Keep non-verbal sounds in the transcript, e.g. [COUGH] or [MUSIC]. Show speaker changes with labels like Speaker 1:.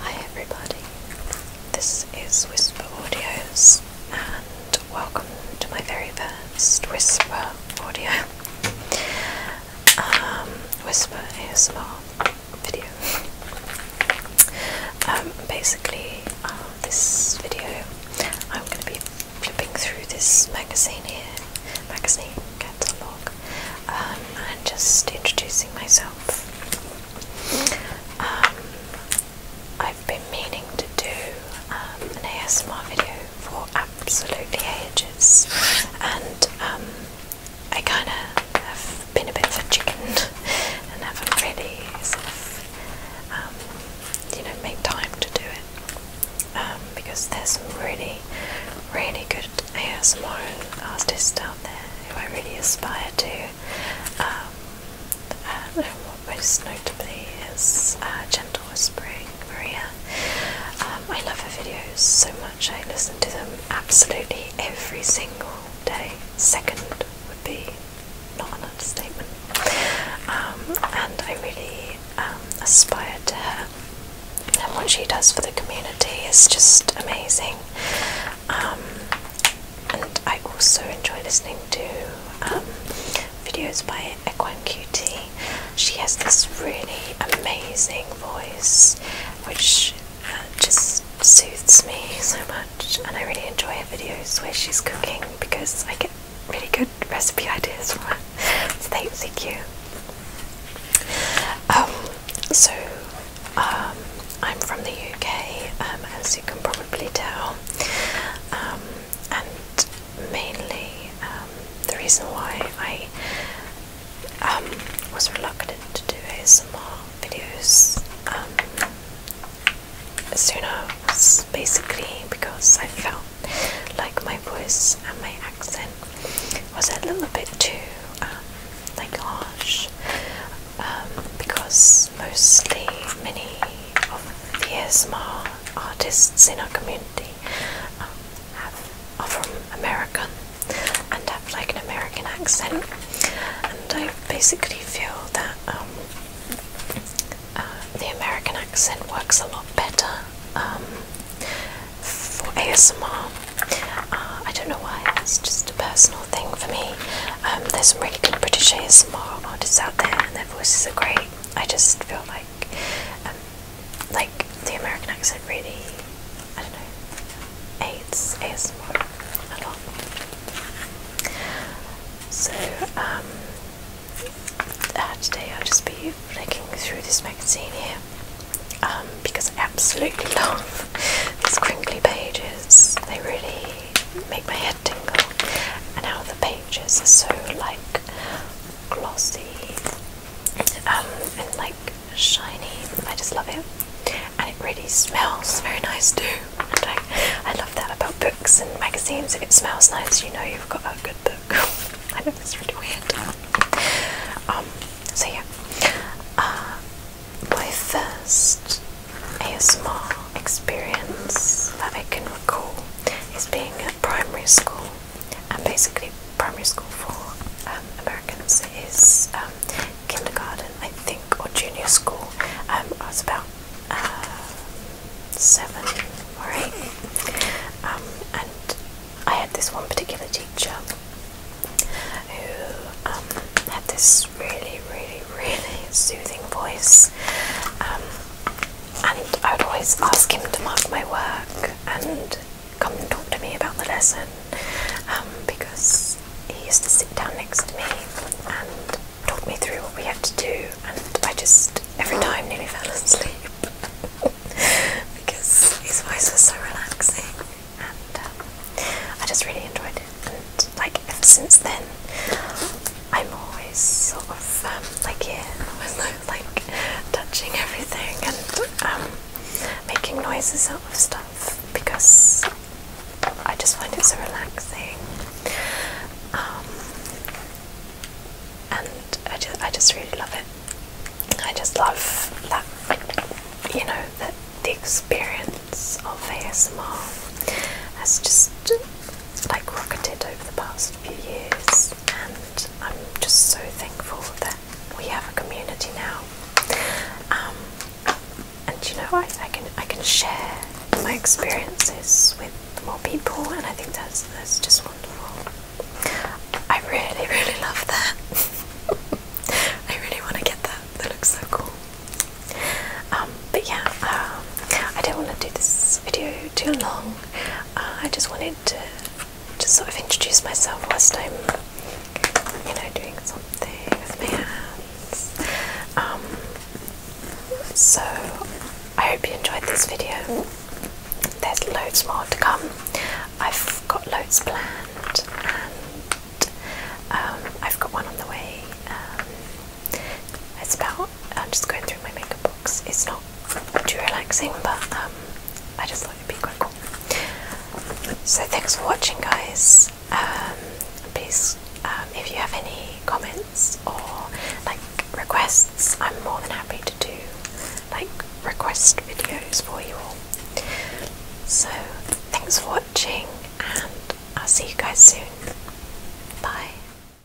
Speaker 1: Hi everybody, this is Whisper Audios and welcome to my very first Whisper Audio um, Whisper ASMR video. Um, basically, uh, this video I'm going to be flipping through this magazine here, magazine catalog, I'm um, just introducing myself. Um, I've been meaning to do um, an ASMR video for absolutely ages, and I kind of have been a bit of a chicken [LAUGHS] and haven't really you know, made time to do it. Um, because there's some really, really good ASMR artists out there who I really aspire to. Um, most notably is uh, Gentle Whispering Maria. Um, I love her videos so much. I listen to them absolutely every single day. Second would be not an understatement. Um, and I really um, Aspired to her and what she does for the community is just amazing. Um, and I also enjoy listening to um, videos by Equine QT. She has this really amazing voice which uh, just soothes me so much, and I really enjoy her videos where she's cooking because I get really good recipe ideas from that. So thank, thank you. Um, so um, I'm from the UK, um, as you can probably tell, and mainly the reason why I was reluctant to do ASMR videos sooner was basically because I felt like my voice and my accent was a little bit too um, like harsh um, because mostly many of the ASMR artists in our community um, are from America and have like an American accent and I basically feel that um, uh, the American accent works a lot better um, for ASMR. Uh, I don't know why, it's just a personal thing for me. Um, there's some really good British ASMR artists out there and their voices are great. I just feel like um, like the American accent really, I don't know, aids ASMR a lot. So, um, uh, today I'll just be flicking through this magazine here um, because I absolutely [LAUGHS] love these crinkly pages. They really make my head tingle, and how the pages are so like glossy um, and like shiny. I just love it and it really smells very nice too. I love that about books and magazines. If it smells nice, you know you've got a good book. [LAUGHS] I know it's really weird. Um, so yeah, uh, my first ASMR experience that I can recall is being at primary school, and basically primary school for um, Americans is um, kindergarten, I think, or junior school. Um, I was about uh, seven or eight, um, and I had this one particular teacher who um, had this really, really, really soothing voice, and I would always ask him to mark my work, and come and talk to me about the lesson um, because he used to sit down next to me and talk me through what we had to do, and I just every time nearly fell asleep [LAUGHS] because his voice was so relaxing, and um, I just really enjoyed it. And like ever since then, I'm always sort of um, like yeah, [LAUGHS] like touching everything and making noises out of stuff because I just find it so relaxing. Um, and I just, I just really love it. I just love that, you know, that the experience of ASMR has just like rocketed over the past few years, and I'm just so thankful that we have a community now. Um, and you know, I, can I can share my experiences with more people, and I think that's that's just wonderful. I really, really love that. [LAUGHS] I really want to get that. That looks so cool. Um, but yeah, um, I don't want to do this video too long. Uh, I just wanted to just sort of introduce myself whilst I'm, you know, doing something with my hands. Um, so, I hope you enjoyed this video. There's loads more to come. I've got loads planned, and um, I've got one on the way. Um, it's about I'm just going through my makeup box. It's not too relaxing, but um, I just thought it be quite So thanks for watching, guys. Um, please, um, if you have any comments or like requests, I'm more than happy to do like request videos for you all. So thanks for watching, and I'll see you guys soon. Bye.